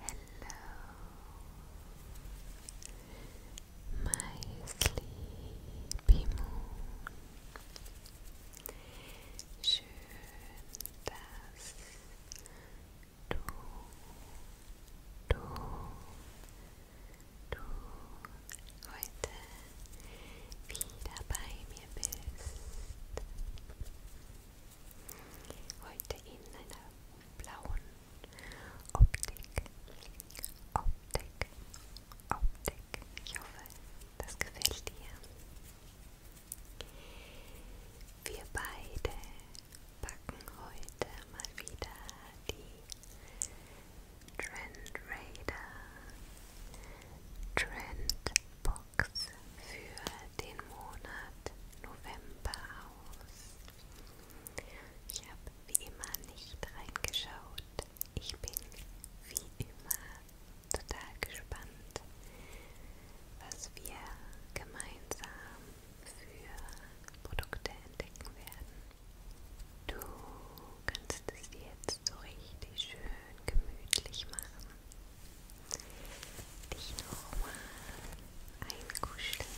Hello, my sleepy moon. Schön, dass du, du, du heute wieder bei mir bist. Heute in einer blauen Optik. Optik. Optik. Ich hoffe, das gefällt dir. Wir beide packen heute mal wieder die Trend Raider Trendbox Tricks für den Monat November aus. Ich habe wie immer nicht reingeschaut. Ich bin wie immer total gespannt, was wir gemeinsam für Produkte entdecken werden. Du kannst es jetzt so richtig schön gemütlich machen dich nochmal einkuscheln.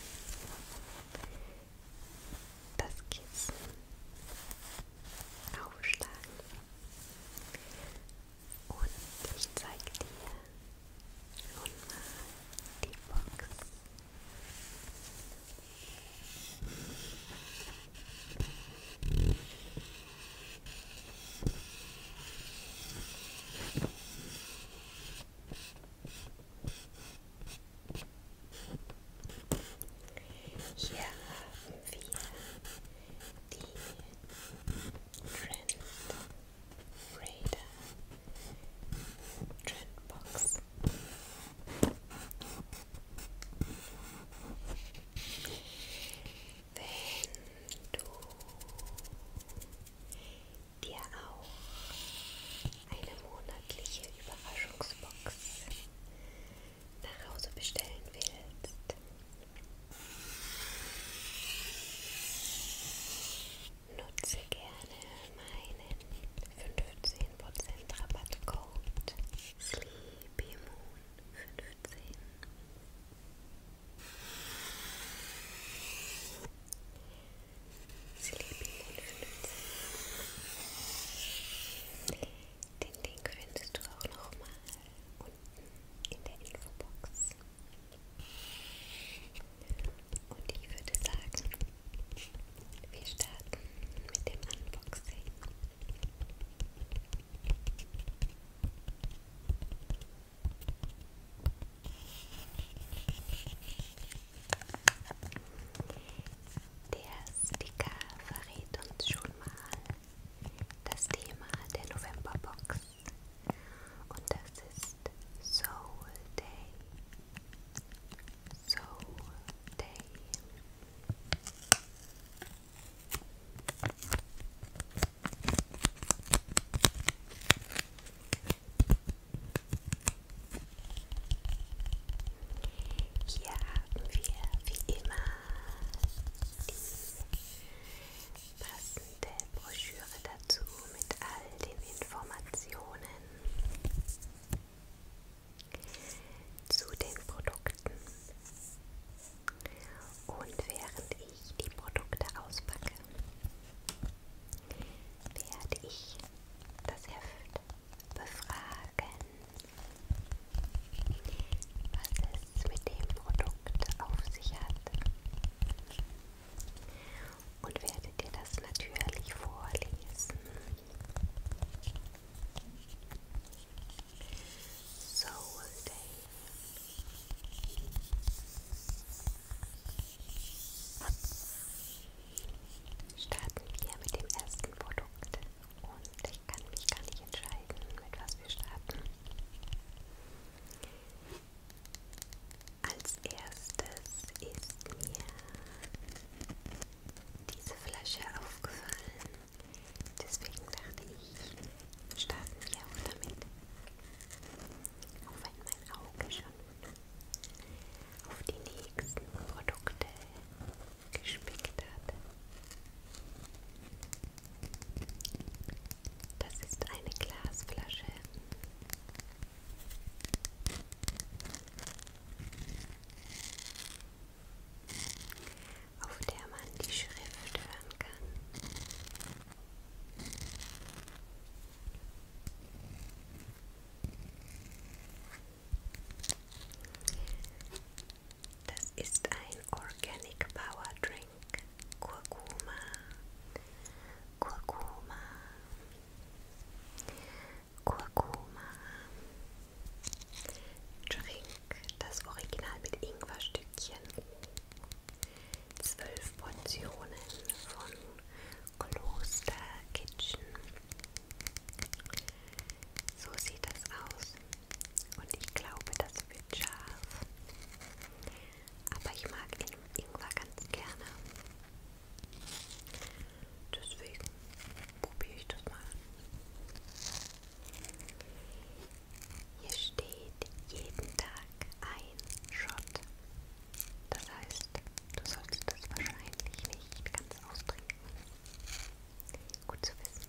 Das Kissen aufschlagen. Und ich zeige dir nun mal die Box. Hier haben wir die Trend Raider Trendbox wenn du dir auch eine monatliche Überraschungsbox nach Hause bestellen willst. Nutze gerne meinen 15% Rabattcode SleepyMoon15 Sleepy Den Link findest du auch nochmal unten in der Infobox. Und ich würde sagen, wir starten mit dem Unboxing. Der Sticker verrät uns schon mal das Thema der Novemberbox und das ist Soul Day. Soul Day. Hier haben wir wie immer die passende Broschüre dazu mit all den Informationen zu den Produkten. Und während ich die Produkte auspacke, werde ich das Heft befragen, was es mit dem Produkt auf sich hat. Und werde dir das natürlich vorlesen. So will they. Starten wir mit dem ersten Produkt und ich kann mich gar nicht entscheiden, mit was wir starten. Als erstes ist mir diese Flasche aufgefallen Deswegen dachte ich, starten wir auch damit. Auch wenn mein Auge schon auf die nächsten Produkte gespickt hat. Das ist eine Glasflasche auf der man die Schrift hören kann. Das ist ein Organic Power Drink. Kurkuma. Kurkuma. Kurkuma. Drink das Original mit Ingwerstückchen. Zwölf Portionen von Kloster Kitchen. So sieht das aus. Und ich glaube, das wird scharf. Aber ich mag Ingwer ganz gerne. Deswegen probiere ich das mal. Hier steht jeden Tag ein Shot. Das heißt, du sollst das wahrscheinlich nicht ganz austrinken. Gut zu wissen.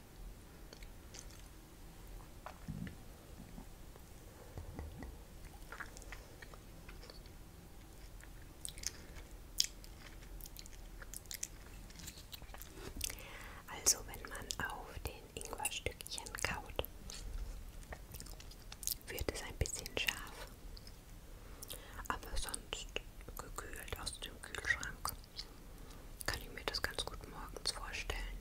Also wenn man auf den Ingwerstückchen kaut, wird es ein bisschen scharf, aber sonst gekühlt aus dem Kühlschrank kann ich mir das ganz gut morgens vorstellen.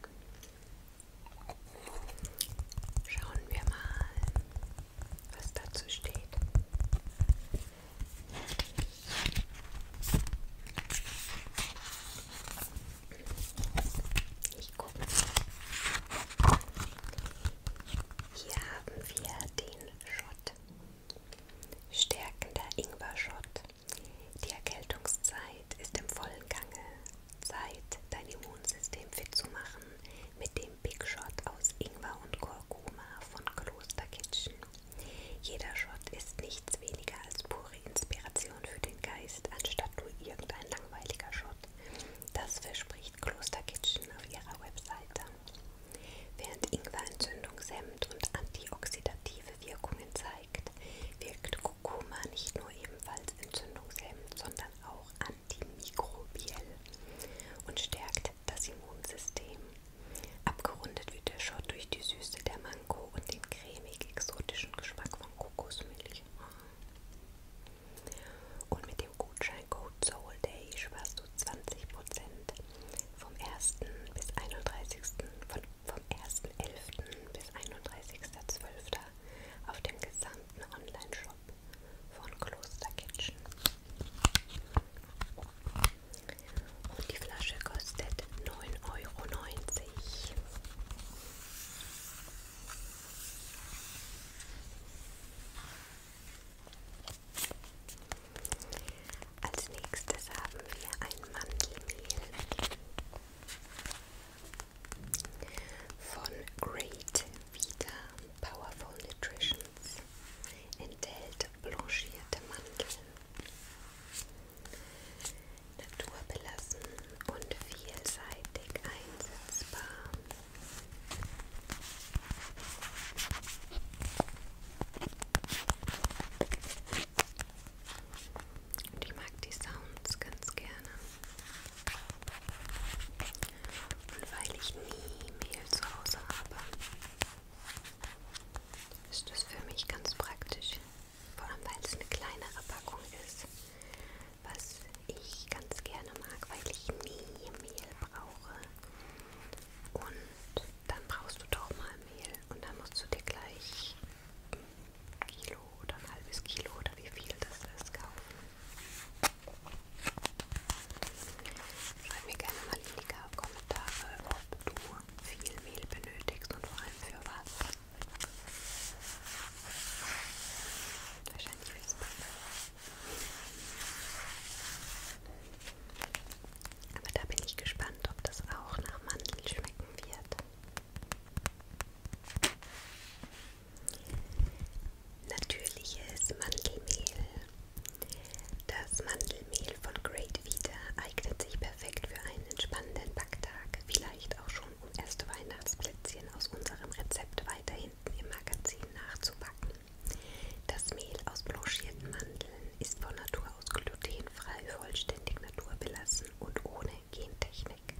Schauen wir mal, was dazu steht. Ich gucke. Hier haben wir den Schott. Stärkender Ingwer-Shot. Die Erkältungszeit ist im vollen Gange. Zeit, dein Immunsystem fit zu machen mit dem Big Shot aus Ingwer und Kurkuma von Kloster Kitchen. Jeder Shot ist nichts weniger als pure Inspiration für den Geist, anstatt nur irgendein langweiliger Shot. Das verspricht Kloster Kitchen auf ihrer Webseite. Während Ingwerentzündung Semmt und antioxidative Wirkungen zeigt, wirkt Kurkuma nicht nur ebenfalls entzündungshemmend, sondern auch antimikrobiell und stärkt das Immunsystem. Abgerundet wird der Schott durch die Süße der Mango und den cremig-exotischen Geschmack von Kokosmilch. Und mit dem Gutscheincode SOULDAY sparst du 20% Abend vom 1. bis 31. Von, vom 1.11. bis 31.12. auf dem gesamten Online-Shop von Kloster Kitchen. Und die Flasche kostet 9,90 Euro. Als nächstes haben wir ein Mandelmehl von Great Vita Powerful Nutritions. Enthält blanchierte Mandeln. Naturbelassen und vielseitig einsetzbar. Und ich mag die Sounds ganz gerne. Und weil ich nie Mehl zu Hause habe, ist das für mich ganz praktisch. Vor allem, weil es eine kleinere Packung ist. Was ich ganz gerne mag, weil ich nie Mehl brauche. Und dann brauchst du doch mal Mehl und dann musst du dir gleich ein Kilo oder ein halbes Kilo oder wie viel das ist kaufen. Schreib mir gerne mal in die Kommentare, ob du viel Mehl benötigst und vor allem für was. Wahrscheinlich fürs Backen. Aber da bin ich gespannt, ob das auch nach Mandel schmecken wird. Natürliches Mandelmehl. Das Mandelmehl von Great Vita eignet sich perfekt für einen entspannenden Backtag, vielleicht auch schon um erste Weihnachtsplätzchen aus unserem Rezept weiter hinten im Magazin nachzubacken. Das Mehl aus blanchierten Mandeln ist von Natur aus glutenfrei, vollständig naturbelassen und ohne Gentechnik.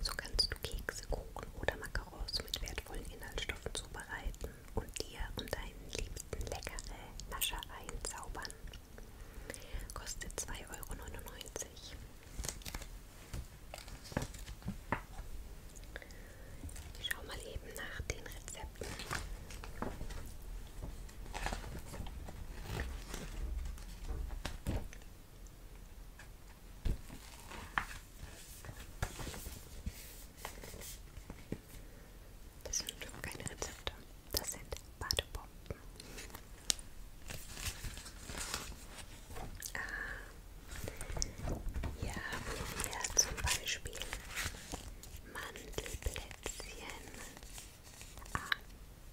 So kannst du Kekse, Kuchen oder Macarons mit wertvollen Inhaltsstoffen zubereiten und dir und deinen Liebsten leckere Nascher einzaubern. Kostet 2,99 Euro. Ich schau mal eben nach den Rezepten. Das sind doch keine Rezepte, das sind Badebomben. Ah, hier haben wir zum Beispiel Mandelblätter. Plätzchen. Ah,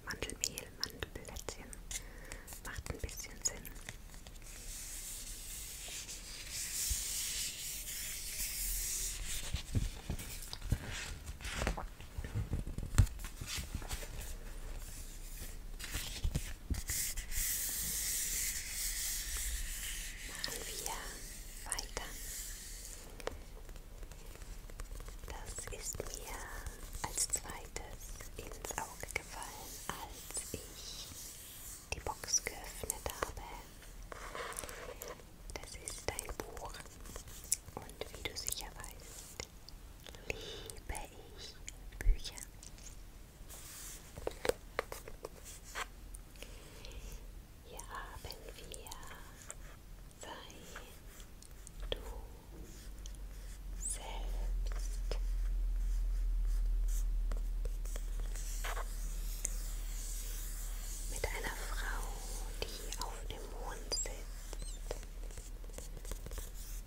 Mandelmehl, Mandelplätzchen. Macht ein bisschen Sinn. Machen wir weiter. Das ist mir als zweites ins Auge gefallen, als ich die Box geöffnet habe. Das ist ein Buch und wie du sicher weißt, liebe ich Bücher. Hier haben wir sei du selbst. Mit einer Frau, die auf dem Mond sitzt,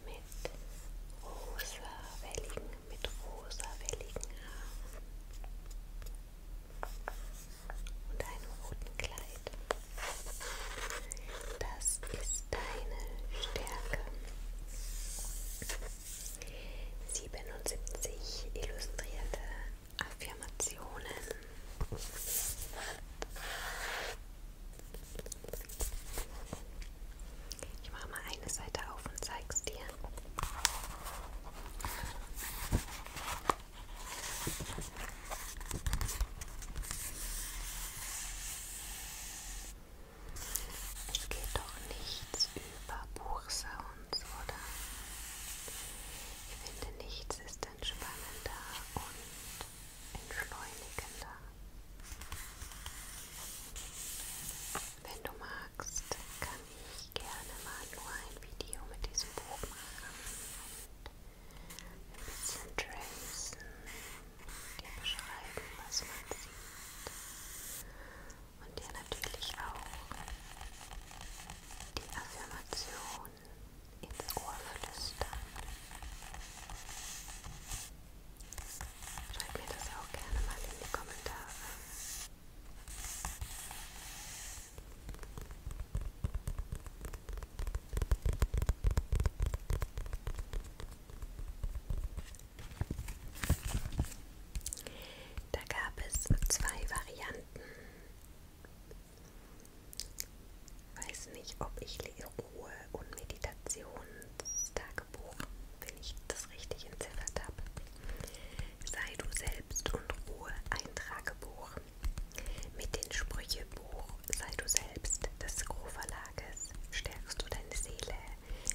mit rosawelligen, mit rosawelligen Haaren und einem roten Kleid. Das ist deine Stärke. 77 illustrierte Affirmationen. Ich mache mal eine Seite auf und zeig's dir. Es geht doch nichts über Buchsounds, oder? Ich finde, nichts ist entspannender und entschleunigender. Wenn du magst, kann ich gerne mal nur ein Video mit diesem Buch machen ein bisschen tracen, dir beschreiben, was man sieht und dir natürlich auch die Affirmation ins Ohr flüstern. Schreib mir das auch gerne mal in die Kommentare. Da gab es zwei Varianten. Weiß nicht, ob ich Ruhe und Meditationstagebuch, wenn ich das richtig entziffert habe. Sei du selbst und Ruhe, ein Tragebuch. Mit dem Sprüchebuch Sei du selbst des Groh-Verlages stärkst du deine Seele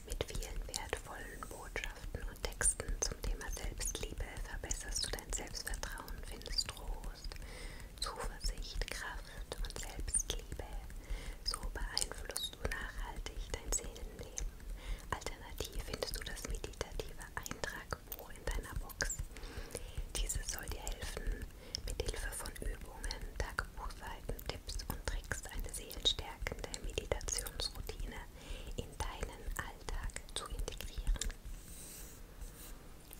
mit vielen wertvollen Botschaften und Texten zum Thema Selbstliebe. Verbesserst du dein Selbstvertrauen, findest Trost, Zuversicht, Kraft und Selbstliebe. So beeinflusst du nachhaltig dein Seelenleben. Alternativ findest du das meditative Eintrag irgendwo in deiner Box. Diese soll dir helfen, mit Hilfe von Übungen, Tagebuchseiten, Tipps und Tricks eine seelenstärkende Meditationsroutine in deinen Alltag zu integrieren.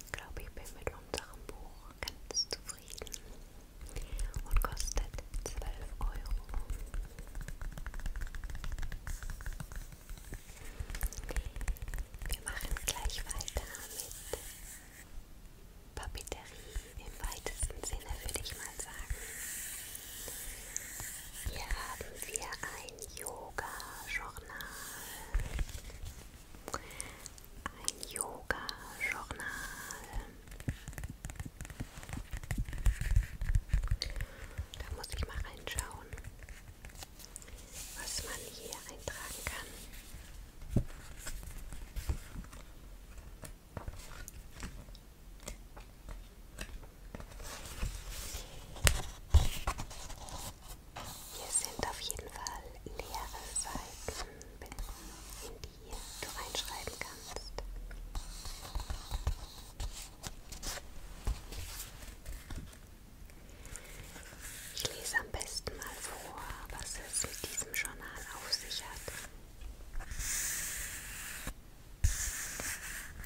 Ich glaube, ich bin mit unserem Buch ganz zufrieden und kostet 12 Euro. Wir machen gleich weiter mit Papeterie im weitesten Sinne, würde ich mal sagen. Hier haben wir ein Yoga-Journal. Ein Yoga-Journal. Da muss ich mal reinschauen was man hier eintragen kann. Hier sind auf jeden Fall leere Seiten, in die du reinschreiben kannst. Ich lese am besten mal vor, was es mit diesem Journal auf sich hat.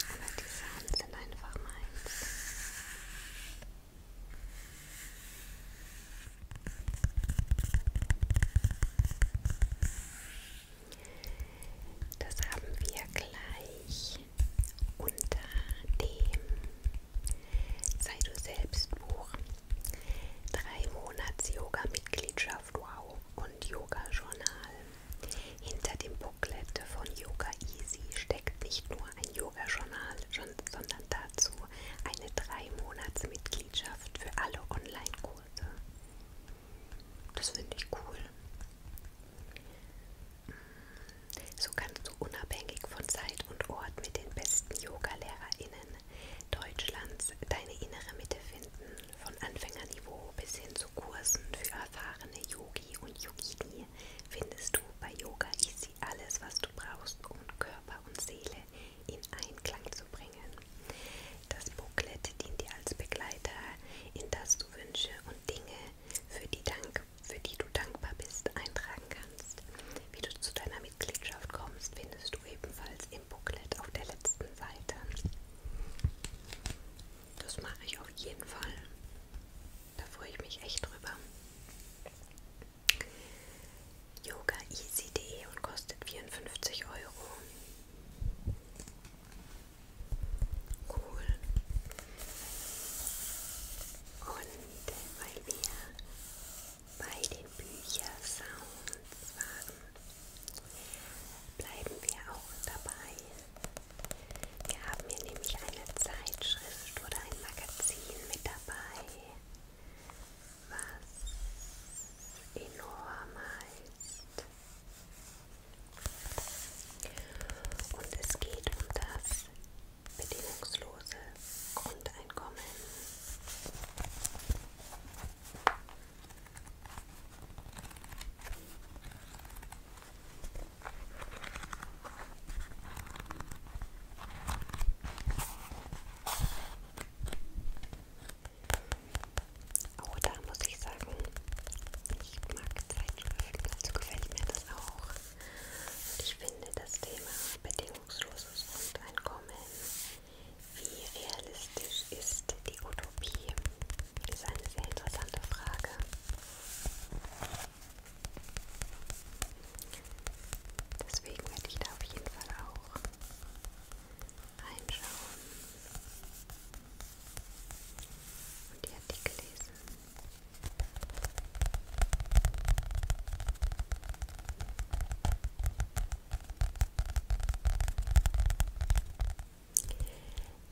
Aber die Sachen sind einfach meins. Das haben wir gleich unter dem Sei du selbst Buch. Drei Monats Yoga-Mitgliedschaft Wow und Yoga-Journal. Hinter dem Booklet von Yoga Easy steckt nicht nur ein Yoga-Journal, sondern dazu eine drei Monats Mitgliedschaft für alle Online-Kurse. Das finde ich cool. So kannst du unabhängig von Zeit und Ort mit den besten Yoga-LehrerInnen Deutschlands deine innere Mitte finden, von Anfängerniveau bis hin zu Kursen für erfahrene Yogi und Yogini findest du bei Yoga Easy alles, was du brauchst, um Körper und Seele in Einklang zu bringen. Das Booklet dient dir als Begleiter, in das du Wünsche und Dinge, für die, Dank, für die du dankbar bist, eintragen kannst. Wie du zu deiner Mitgliedschaft kommst, findest du ebenfalls im Booklet auf der letzten Seite. Das mache ich auf jeden Fall. Da freue ich mich echt drüber. Yoga easy.de und kostet 54 Euro. Cool. Und weil wir bei den Büchersounds waren, bleiben wir auch dabei. Wir haben hier nämlich eine Zeitschrift oder ein Magazin mit dabei, was enorm heißt. Und es geht um das bedingungslose Grundeinkommen. Oh, da muss ich sagen, ich mag Zeitschriften, also gefällt mir das auch. Und ich finde das Thema bedingungsloses Grundeinkommen, wie realistisch ist die Utopie, ist eine sehr interessante Frage. Deswegen werde ich da auf jeden Fall auch reinschauen und die Artikel lesen.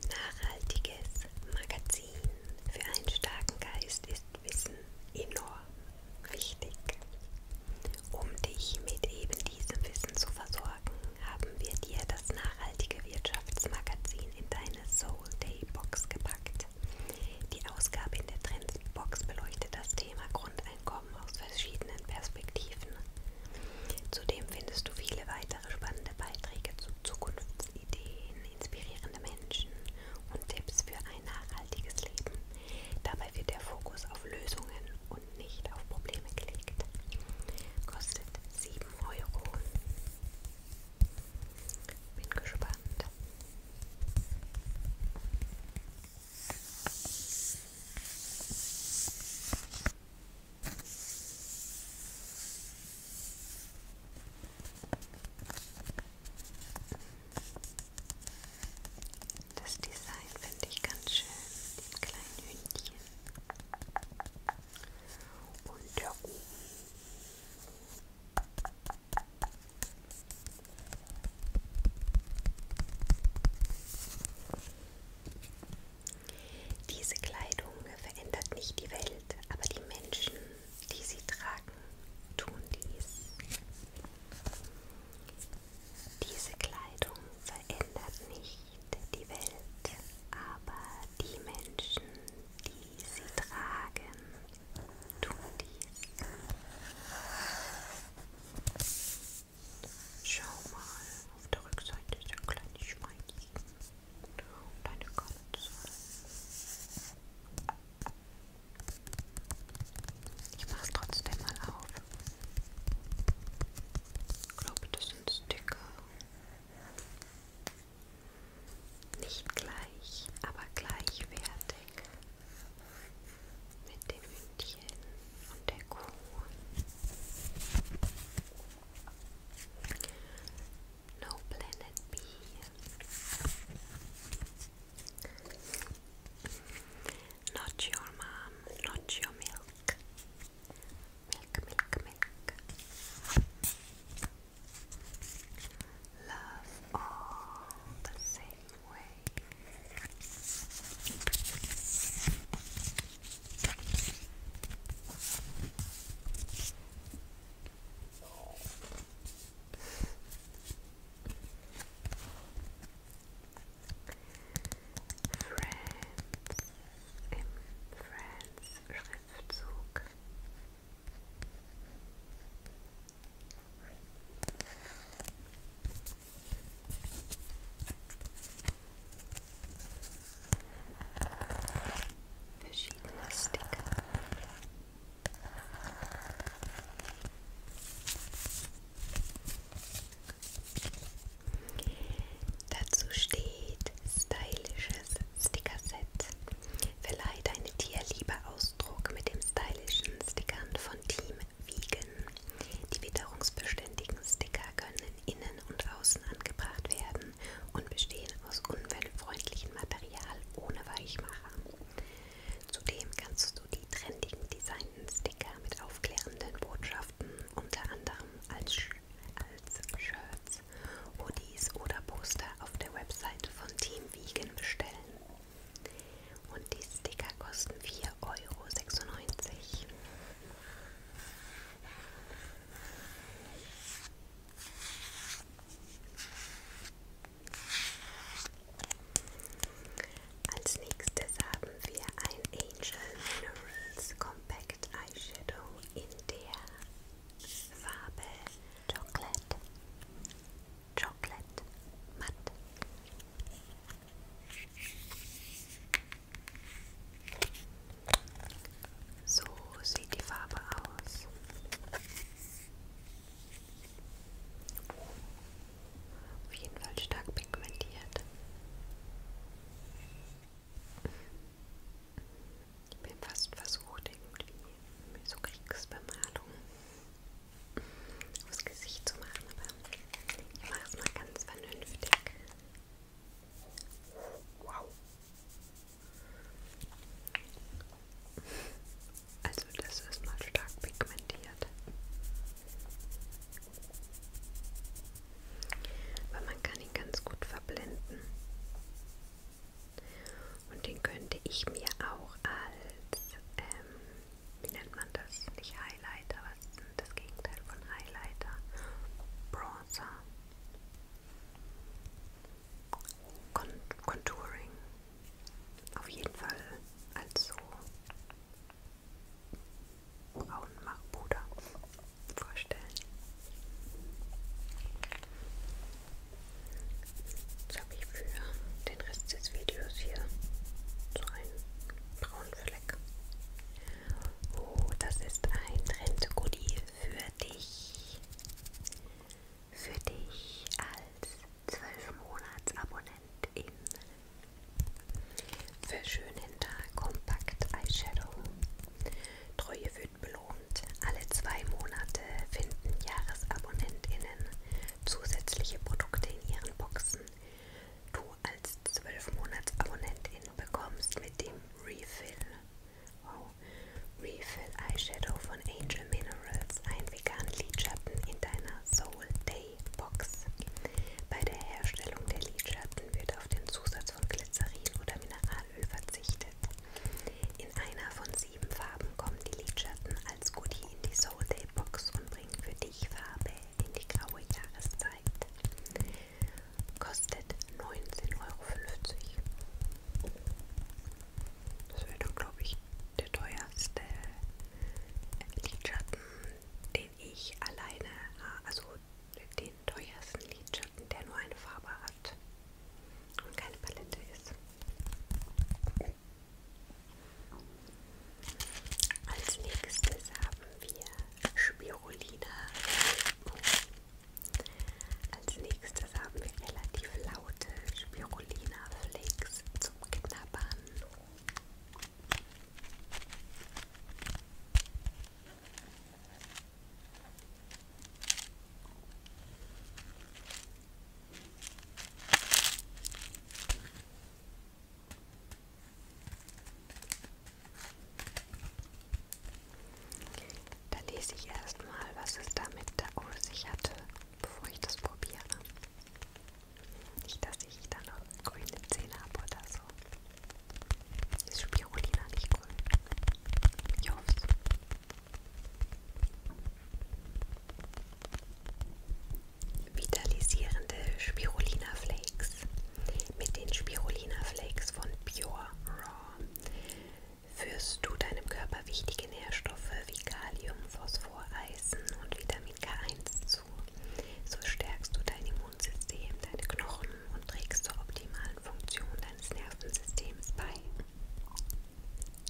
Nachhaltiges Magazin für einen starken Geist ist Wissen enorm wichtig. Um dich mit eben diesem Wissen zu versorgen, haben wir dir das nachhaltige Wirtschaftsmagazin in deine Soul Day Box gepackt. Die Ausgabe in der Trendbox beleuchtet das Thema Grundeinkommen aus verschiedenen Perspektiven. Zudem findest du viele weitere spannende Beiträge zu Zukunftsideen, inspirierende Menschen und Tipps für ein nachhaltiges Leben. Dabei wird der Fokus auf Lösungen und nicht auf Probleme gelegt. Kostet 7 Euro. Bin gespannt. Das Design finde ich ganz schön, den kleinen Hündchen und der Ofen diese Kleidung verändert nicht die Welt, aber die Menschen, die sie tragen, tun dies. Diese Kleidung verändert nicht die Welt, aber die Menschen, die sie tragen, tun dies. Schau mal, auf der Rückseite ist ein kleines Schweinchen und eine Katze. Ich mach's trotzdem mal auf. Ich glaube, das sind Sticker. Nicht gleich, aber gleichwertig mit dem Hündchen und der Kuh. No Planet B. Not your mom, not your milk. Milk, milk, milk. Love all the same way. Friends im Schriftzug verschiedene Sticker. Dazu steht stylisches Stickerset. Verleiht eine Tierliebe Ausdruck mit dem stylischen Stickern von Team Vegan. Die witterungsbeständigen Sticker können innen und außen angebracht werden und bestehen aus umweltfreundlichem Material ohne Weichmacher. Zudem kannst du die trendigen designten Sticker mit aufklärenden Botschaften unter anderem als, als Shirts Shirts, Hoodies oder Poster auf der Website von Team Vegan bestellen. Und die Sticker kosten 4,96 Euro. Als nächstes haben wir ein Angel Minerals Compact Eyeshadow in der Farbe Chocolate, Chocolate matt. So sieht die Farbe aus. Auf jeden Fall stark pigmentiert. Ich bin fast versucht, irgendwie so Kriegsbemalung aufs Gesicht zu machen, aber ich mache es mal ganz vernünftig. Wow! Also das ist mal stark pigmentiert. Aber man kann ihn ganz gut verblenden. Und den könnte ich mir auch als, ähm, wie nennt man das? Nicht Highlighter, was ist denn das Gegenteil von Highlighter? Bronzer. Con Contouring. Auf jeden Fall als so Braunmachpuder vorstellen. Jetzt habe ich für den Rest des Videos hier so einen braunen Fleck. Oh, das ist ein Trend-Goodie für dich. Für dich als 12-Monats-Abonnent im Verschönender Kompakt Eyeshadow. Treue für schön belohnt. Alle zwei Monate finden JahresabonnentInnen zusätzliche Produkte in ihren Boxen. Du als 12-Monats-Abonnentin bekommst mit dem Refill, wow, Refill Eyeshadow von Angel Minerals einen veganen Lidschatten in deiner Soul Day Box. Bei der Herstellung der Lidschatten wird auf den Zusatz von Glycerin oder Mineral Haaröl verzichtet. In einer von sieben Farben kommen die Lidschatten als Goodie in die Soul Day Box und bringen für dich Farbe in die graue Jahreszeit. Kostet 19,50 Euro. Das wäre dann, glaube ich, der teuerste Lidschatten, den ich alleine, ah, also den teuersten Lidschatten, der nur eine Farbe hat und keine Palette ist. Als nächstes haben wir Spirulina. Als nächstes haben wir relativ laute Spirulina Flakes zum Knabbern. Da lese ich erstmal, was es damit auf sich hatte, bevor ich das probiere. Nicht, dass ich dann noch grüne Zähne habe oder so. Ist Spirulina nicht grün? Ich hoffe Vitalisierende Spirulina Flakes mit den Spirulina Flakes von Pure Raw führst du deinem Körper wichtige Nährstoffe wie Kalium, Phosphor, Eisen und Vitamin K1 zu. So stärkst du dein Immunsystem, deine Knochen und trägst zur optimalen Funktion deines Nervensystems bei.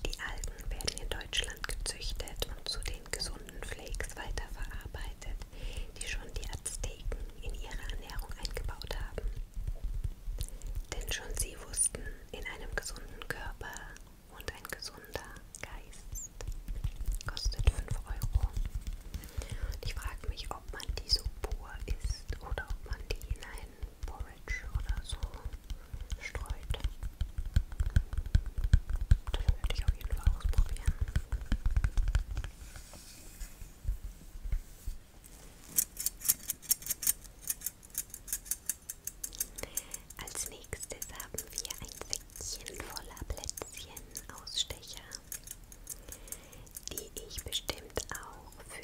Die Algen werden in Deutschland gezüchtet und zu den gesunden Flakes weiterverarbeitet, die schon die Azteken in ihre Ernährung eingebaut haben. Denn schon sie wussten, in einem gesunden Körper und ein gesunder Geist kostet 5 Euro. Und ich frage mich, ob man die so pur isst oder ob man die in einen Porridge oder so streut. Das werde ich auf jeden Fall ausprobieren. Als nächstes haben wir ein Säckchen voller Plätzchen-Ausstecher, die ich bestimmt auch auch für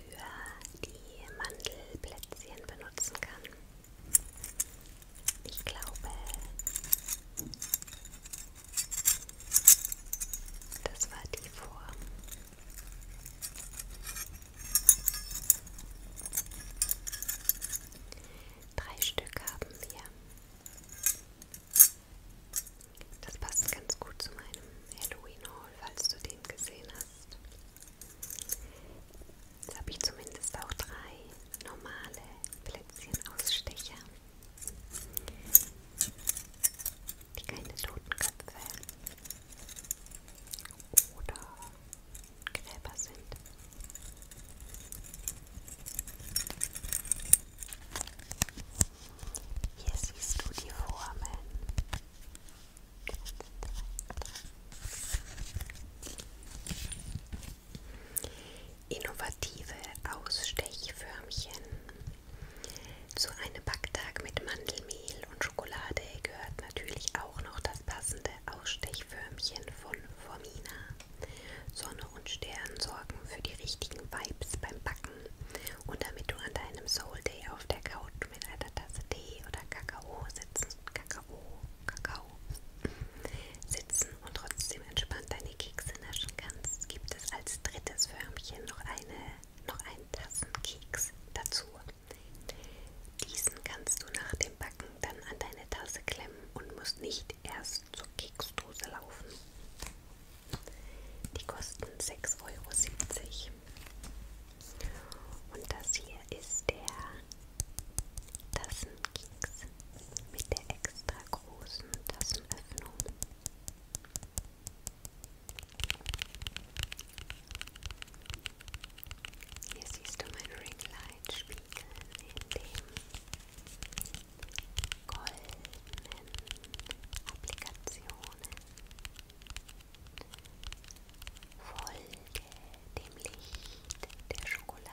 die Mandelplätzchen benutzen kann. Ich glaube, das war die Form. Drei Stück haben wir. Das passt ganz gut zu meinem Halloween Haul, falls du den gesehen hast. Jetzt habe ich zumindest auch drei normale Plätzchen-Ausstecher. Die keine Totenköpfe oder Gräber sind. Hier siehst du die Formen. Innovative Ausstechförmchen. Zu einem Backtag mit Mandelmehl und Schokolade gehört natürlich auch noch das passende Ausstechförmchen von Formina. Sonne und Stern sorgen für die richtigen Vibes beim Backen und damit du an deinem Soul Day auf der Couch du mit einer Tasse Tee oder Kakao sitzen, Kakao, Kakao sitzen und trotzdem entspannt deine Kekse naschen kannst, gibt es als drittes Förmchen noch eine noch einen Tassenkeks dazu. Diesen kannst du nach dem Backen dann an deine Tasse klemmen und musst nicht erst zur Keksdose laufen. Die kosten 6,70 Euro. Und das hier ist der Tassenkeks mit der extra großen Tassenöffnung. Hier siehst du meinen Ringlight-Spiegel in den goldenen Applikationen. Folge dem Licht der Schokolade.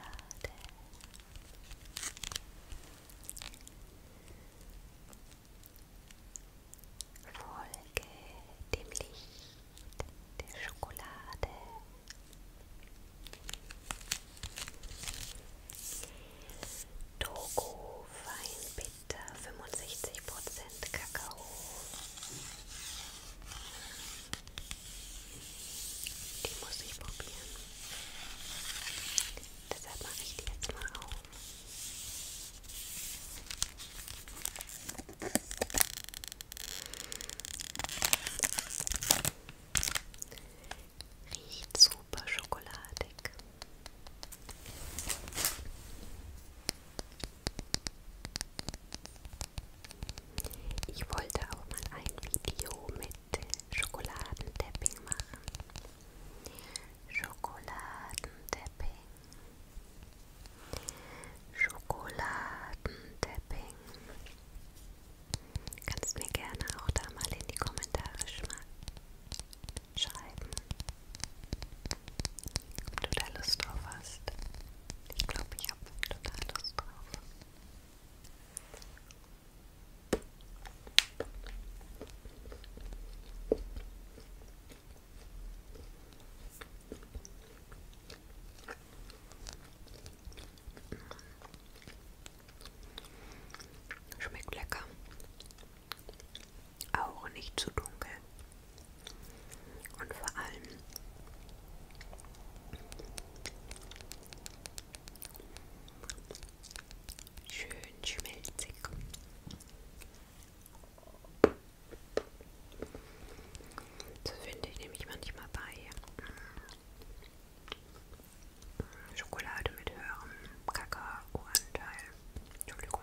Folge dem Licht der Schokolade. Togo Weinbeer ist äh, 65% Kakao. Die muss ich probieren. Deshalb mache ich die jetzt mal auf. Riecht super schokoladig. Ich wollte auch mal ein Video mit Schokoladendepping machen. Schokoladendepping. Schokoladendepping. Kannst mir gerne auch da mal in die Kommentare schreiben. Ob du da Lust drauf hast? Ich glaube, ich habe total Lust drauf. Schmeckt lecker auch nicht zu dunkel. Und vor allem schön schmelzig. So finde ich nämlich manchmal bei mm, Schokolade mit höherem Kakaoanteil. Entschuldigung.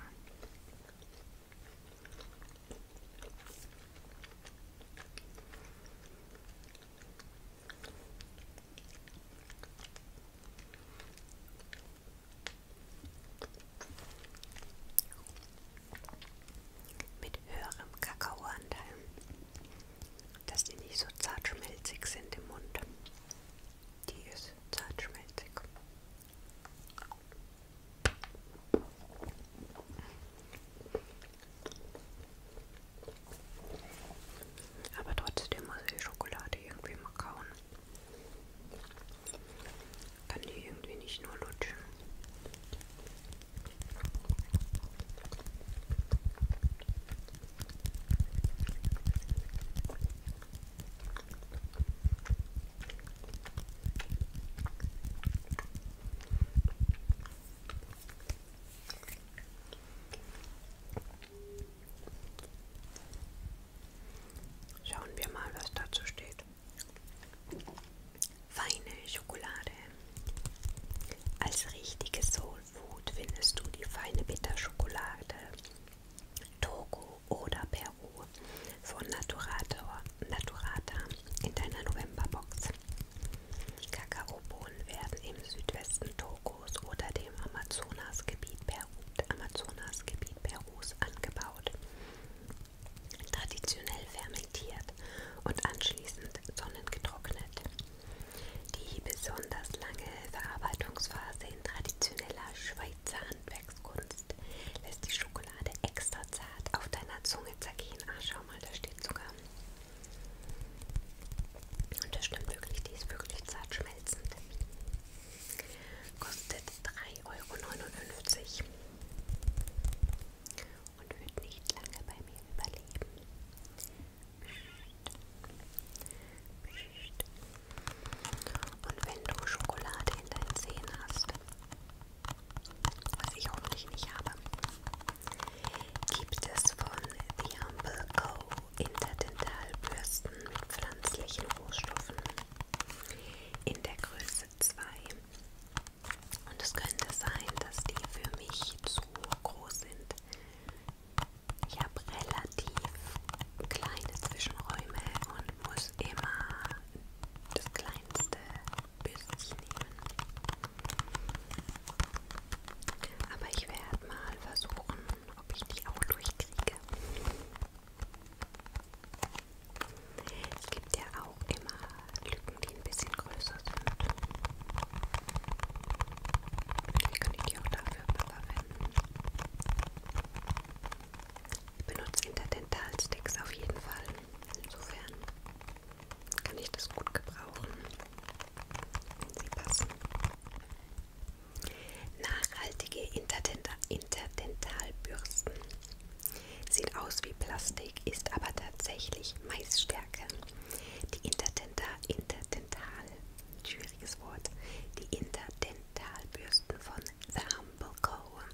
Mit höherem Kakaoanteil, dass die nicht so zartschmelzig sind im Mund. Die ist zartschmelzig. Aber trotzdem muss ich die Schokolade irgendwie mal kauen. Kann die irgendwie nicht nur lutschen. Schauen wir mal, was dazu steht. Feine Schokolade. Als richtige Soul Food findest du die feine Bitterschokolade, Togo oder Berlin. Peru von Naturata, Naturata in deiner Novemberbox. Die Kakaobohnen werden im Südwesten Togos oder dem Amazonasgebiet Peru, Amazonasgebiet Perus angebaut, traditionell fermentiert und anschließend sonnengetrocknet. Die besonders lange Verarbeitungsphase in traditioneller Schweizer Handwerk Handwerkskunst lässt die Schokolade extra zart auf deiner Zunge zergehen. Ah, schau mal, da steht sogar. Und das stimmt wirklich, die ist wirklich zart schmelzend. Kostet 3,59 Euro. Und wird nicht lange bei mir überleben. Und wenn du Schokolade in deinen Zähnen hast, was ich hoffentlich nicht habe, gibt es von The Humble Co. Interdentalbürsten mit pflanzlichen Rohstoffen in der Größe 2. Und es könnte sein, dass die für mich zu groß sind. Ich habe relativ kleine Zwischenräume und muss immer das kleine kleinste Bürstchen nehmen. Aber ich werde mal versuchen, ob ich die auch durchkriege. Es gibt ja auch immer Lücken, die ein bisschen größer sind. Vielleicht kann ich die auch dafür verwenden. Ich benutze Interdentalsticks auf jeden Fall. Insofern kann ich das gut gebrauchen, wenn sie passen. Nachhaltige Interdenta Interdentalbürsten. Sieht aus wie Plastik, ist aber tatsächlich Maisstärke. Die Interdenta Interdental, schwieriges Wort, die Interdentalbürsten von Sam Dumblecore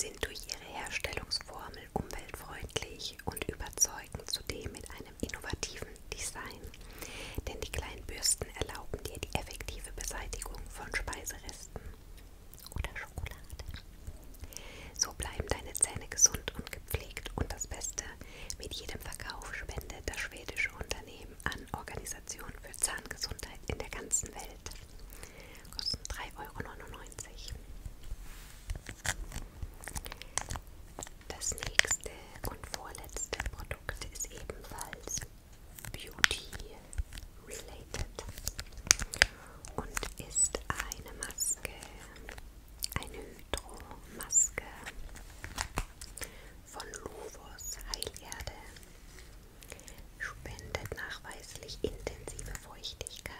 sind durch ihre Herstellungsformel umweltfreundlich und überzeugen zudem mit einem innovativen Design. Denn die kleinen Bürsten erlauben dir die effektive Beseitigung von Speiseresten oder Schokolade. So bleiben deine Zähne gesund und gepflegt und das Beste, mit jedem Verkauf spendet das schwedische Unternehmen an Organisationen für Zahngesundheit in der ganzen Welt. Kosten 3,99 Euro. Das nächste und vorletzte Produkt ist ebenfalls Beauty-related und ist eine Maske, eine Hydro-Maske von Lovos Heilerde Spendet nachweislich intensive Feuchtigkeit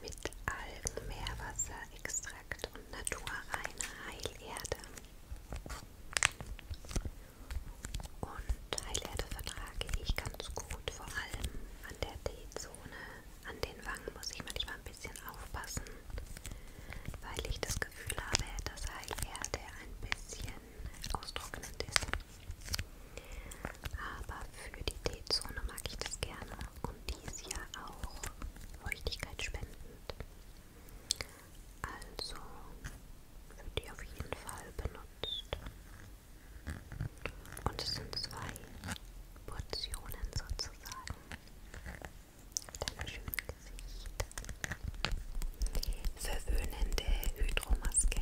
mit Algen, Meerwasser, Extrakt und naturreiner Heilerde. Und Heilerde vertrage ich ganz gut, vor allem an der T-Zone. An den Wangen muss ich manchmal ein bisschen aufpassen, weil ich das Gefühl habe, dass Heilerde ein bisschen austrocknend ist. Aber für die T-Zone mag ich das gerne und die ist ja auch feuchtigkeitsspendend. Also wird die auf jeden Fall benutzt. Und es sind zwei Portionen sozusagen. Mit einem schönen Gesicht verwöhnende Hydromaske.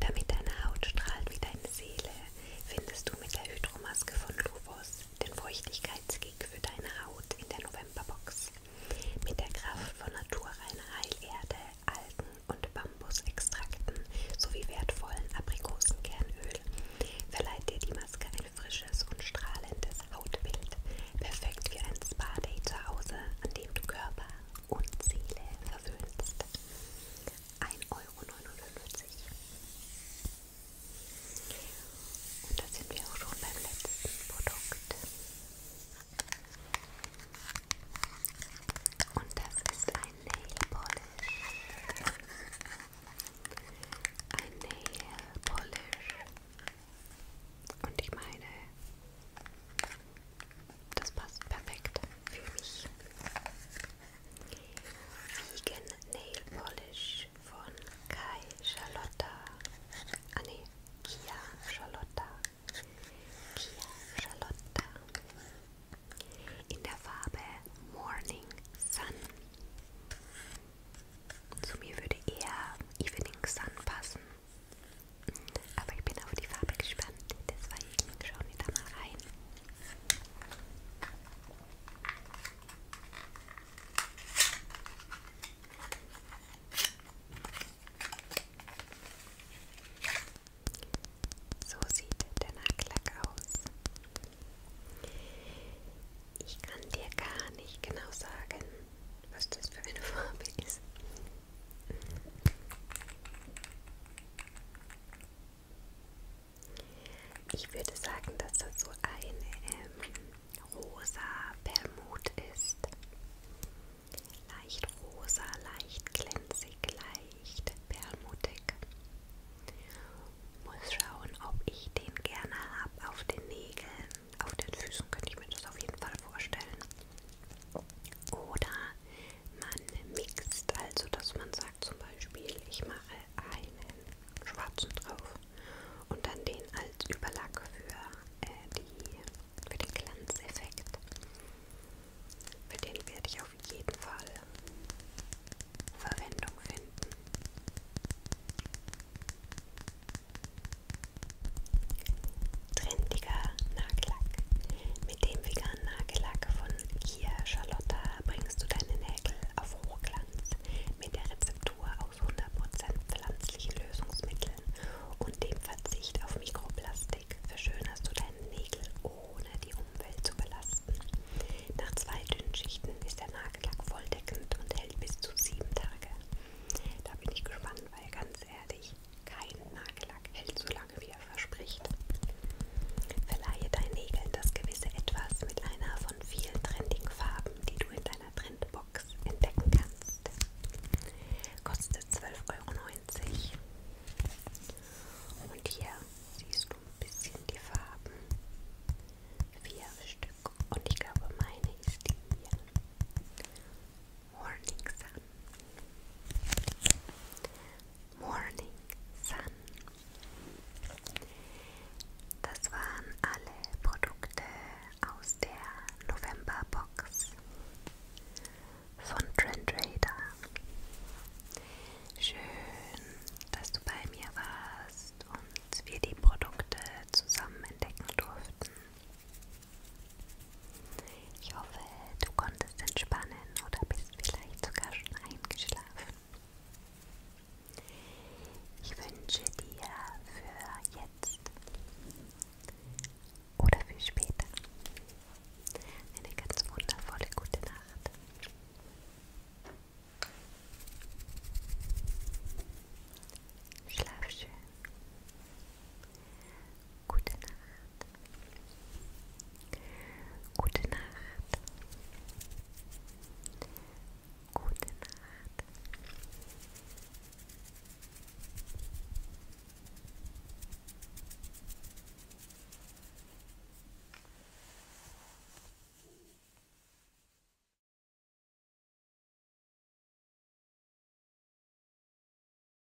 Damit deine Haut strahlt wie deine Seele, findest du mit der Hydromaske von Luvos den Feuchtigkeitsgig für deine Haut in der Novemberbox. Mit der Kraft von naturreiner Heilerde, Algen und Bambusextrakten sowie wertvollen Aprikosenkernöl verleiht dir die Maske ein frisches und strahlendes Hautbild. Perfekt für ein Spa-Day zu Hause, an dem du Körper, und Seele verwöhnst. 1,59 Euro. Und da sind wir auch schon beim letzten Produkt. Und das ist ein Nail Polish. Ein Nail Polish. Und ich meine, das passt perfekt für mich. Vegan Nail Polish von Kai Charlotta. Ah ne, Kia Charlotta. Kia Charlotta. In der Farbe Morning Sun. Zu mir würde eher Evening Sun passen. Aber ich bin auf die Farbe gespannt, deswegen schauen wir da mal rein. So sieht der Nagellack aus. Ich kann dir gar nicht genau sagen, was das für eine Farbe ist. Ich würde sagen, dass das so eine ähm, rosa Permut ist. Leicht rosa, leicht glänzig, leicht permutig. Muss schauen, ob ich den gerne habe auf den Nägeln. Auf den Füßen könnte ich mir das auf jeden Fall vorstellen. Oder man mixt, also dass man sagt zum Beispiel, ich mache einen schwarzen drauf und dann den als Überlack für, äh, die, für den Glanzeffekt. Für den werde ich auf jeden Fall Verwendung finden. Trendiger Nagellack. Mit dem veganen Nagellack von Kia Charlotta bringst du deine Nägel auf Hochglanz mit der Rezeptur aus 100% pflanzlichen Lösungsmitteln und dem Verzicht auf Mikroplastik verschönerst du deine Nägel ohne die Umwelt zu belasten. Nach zwei dünnen Schichten ist der Nagellack volldeckend und hält bis zu sieben Tage. Da bin ich gespannt, weil ganz ehrlich, ich, kein Nagellack hält so lange, wie er verspricht. Verleihe deinen Nägeln das gewisse Etwas mit einer von vielen trendigen Farben, die du in deiner Trendbox entdecken kannst. Kostet 12,90 Euro. Und hier siehst du ein bisschen die Farben. Vier Stück. Und ich glaube, meine ist die hier. Morning Sun. Morning Sun. Das waren alle Produkte aus der Novemberbox von Trend Radar. Schön, dass du bei mir warst und wir die Produkte zusammen entdecken durften. Ich hoffe, du konntest entspannen oder bist vielleicht sogar schon eingeschlafen. Ich wünsche dir für jetzt oder für später eine ganz wundervolle gute Nacht. Schlaf schön. Gute Nacht. Gute Nacht. Gute Nacht.